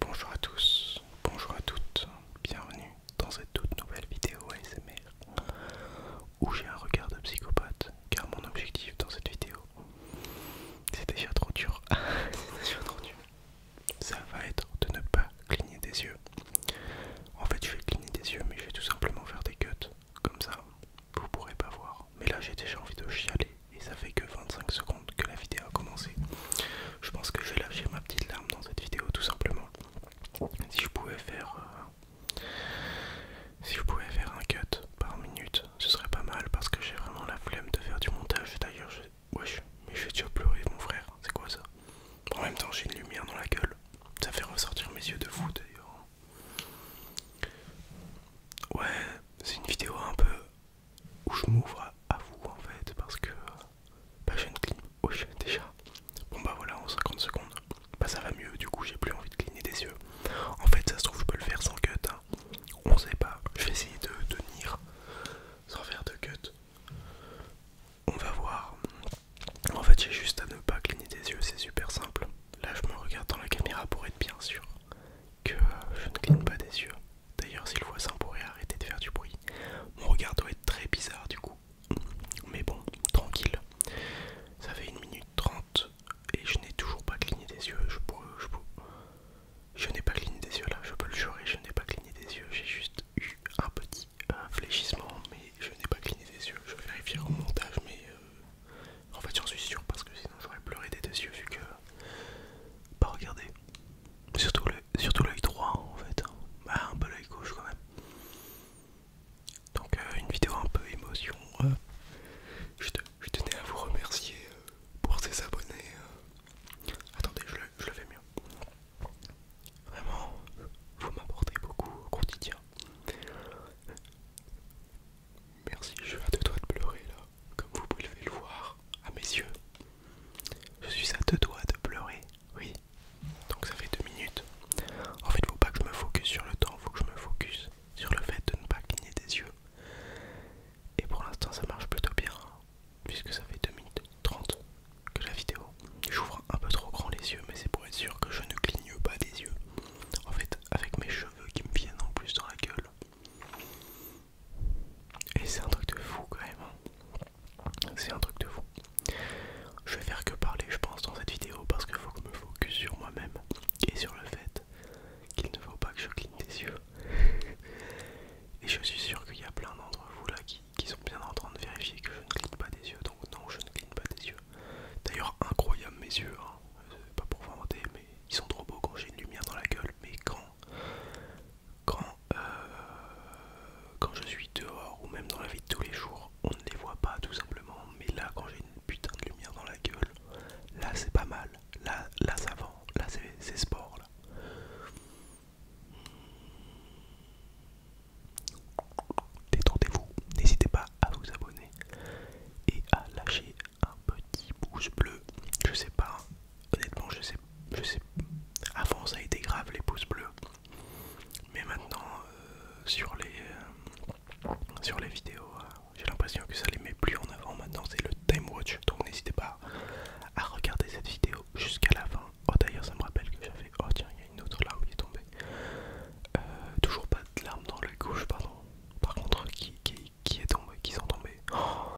Bonjour à tous, bonjour à toutes, bienvenue dans cette toute nouvelle vidéo ASMR où j'ai un regard de psychopathe car mon objectif dans cette vidéo c'est déjà trop dur, c'est déjà trop dur, ça va être de ne pas cligner des yeux. En fait je vais cligner des yeux mais je vais tout simplement faire des cuts comme ça vous pourrez pas voir mais là j'ai déjà envie de chialer et ça fait que 25 secondes que la vidéo a commencé. Je pense que je vais lâcher ma petite larme dans cette vidéo tout simplement. Si je pouvais faire euh, si je pouvais faire un cut par minute, ce serait pas mal parce que j'ai vraiment la flemme de faire du montage. D'ailleurs, je... wesh, mais je vais déjà pleurer mon frère. C'est quoi ça En même temps, j'ai une lumière dans la gueule. Ça fait ressortir mes yeux de fou d'ailleurs. Ouais, c'est une vidéo un peu où je m'ouvre à vous en fait parce que bah, oh, je ne une déjà. Bon bah voilà en 50 secondes, bah ça va mieux du coup j'ai plus envie de cligner des yeux. En fait ça se trouve je peux le faire sans cut, On hein. on sait pas, je vais essayer de tenir sans faire de cut. On va voir. En fait j'ai juste à ne pas cligner des yeux, c'est super simple. Là je me regarde dans la caméra pour être bien sûr que je ne cligne pas des yeux. D'ailleurs, si le voisin pourrait arrêter de faire du bruit, mon regard doit être très bizarre du coup. Mais bon, tranquille. Ça fait une minute 30 et je n'ai toujours pas cligné des yeux. Je je Je n'ai pas cligné des yeux là, je peux le jurer, je n'ai pas cligné des yeux, j'ai juste eu un petit fléchissement, mais je n'ai pas cligné des yeux, je vais vérifier au montage, mais euh, en fait j'en suis sûr parce que sinon j'aurais pleuré des deux yeux vu que... pas regardez, Surtout l'œil surtout droit en fait. Hein. Bah, un peu l'œil gauche quand même. Donc euh, une vidéo un peu émotion. Euh, je, tenais à vous remercier euh, pour ces abonnés. Attendez, je le, je le fais mieux. Vraiment, vous m'apportez beaucoup au quotidien. Merci, je vais à deux doigts de pleurer là comme vous pouvez le voir à mes yeux, je suis à deux doigts de pleurer, oui. Donc ça fait deux minutes. En fait, il faut pas que je me focus sur le temps, il faut que je me focus sur le fait de ne pas cligner des yeux. Et pour l'instant, ça marche plutôt bien, puisque ça fait 2 minutes 30 que la vidéo. J'ouvre un peu trop grand les yeux, mais c'est pour être sûr que je ne cligne pas des yeux. En fait, avec mes cheveux qui me viennent en plus dans la gueule, et c'est un truc de fou quand même. Hein. C'est un truc de fou. Je vais faire que parler, je pense, dans cette vidéo parce qu'il faut que je me focus sur moi-même et sur le fait qu'il ne faut pas que je cligne des yeux. et je suis sûr qu'il y a plein d'entre vous là qui, sont bien en train de vérifier que je ne cligne pas des yeux. Donc non, je ne cligne pas des yeux. D'ailleurs, incroyable mes yeux. Hein. Euh, pas pour vanter, mais ils sont trop beaux quand j'ai une lumière dans la gueule. Mais quand euh, quand, je suis dehors ou même dans la vie de tous les jours, on ne les voit pas tout simplement. Mais là, quand j'ai une putain de lumière dans la gueule, là c'est pas mal. Là, là ça vend. Là c'est sport. Là. Détendez-vous, n'hésitez pas à vous abonner et à lâcher un petit pouce bleu. Je sais pas, hein honnêtement je sais je sais avant ça a été grave les pouces bleus mais maintenant euh, sur les euh, sur les vidéos euh, j'ai l'impression que ça les met plus en avant maintenant c'est le time watch donc n'hésitez pas à regarder cette vidéo jusqu'à la fin oh d'ailleurs ça me rappelle que j'avais oh tiens il y a une autre larme qui est tombée toujours pas de larmes dans la gauche pardon par contre qui est tombé qui sont tombés oh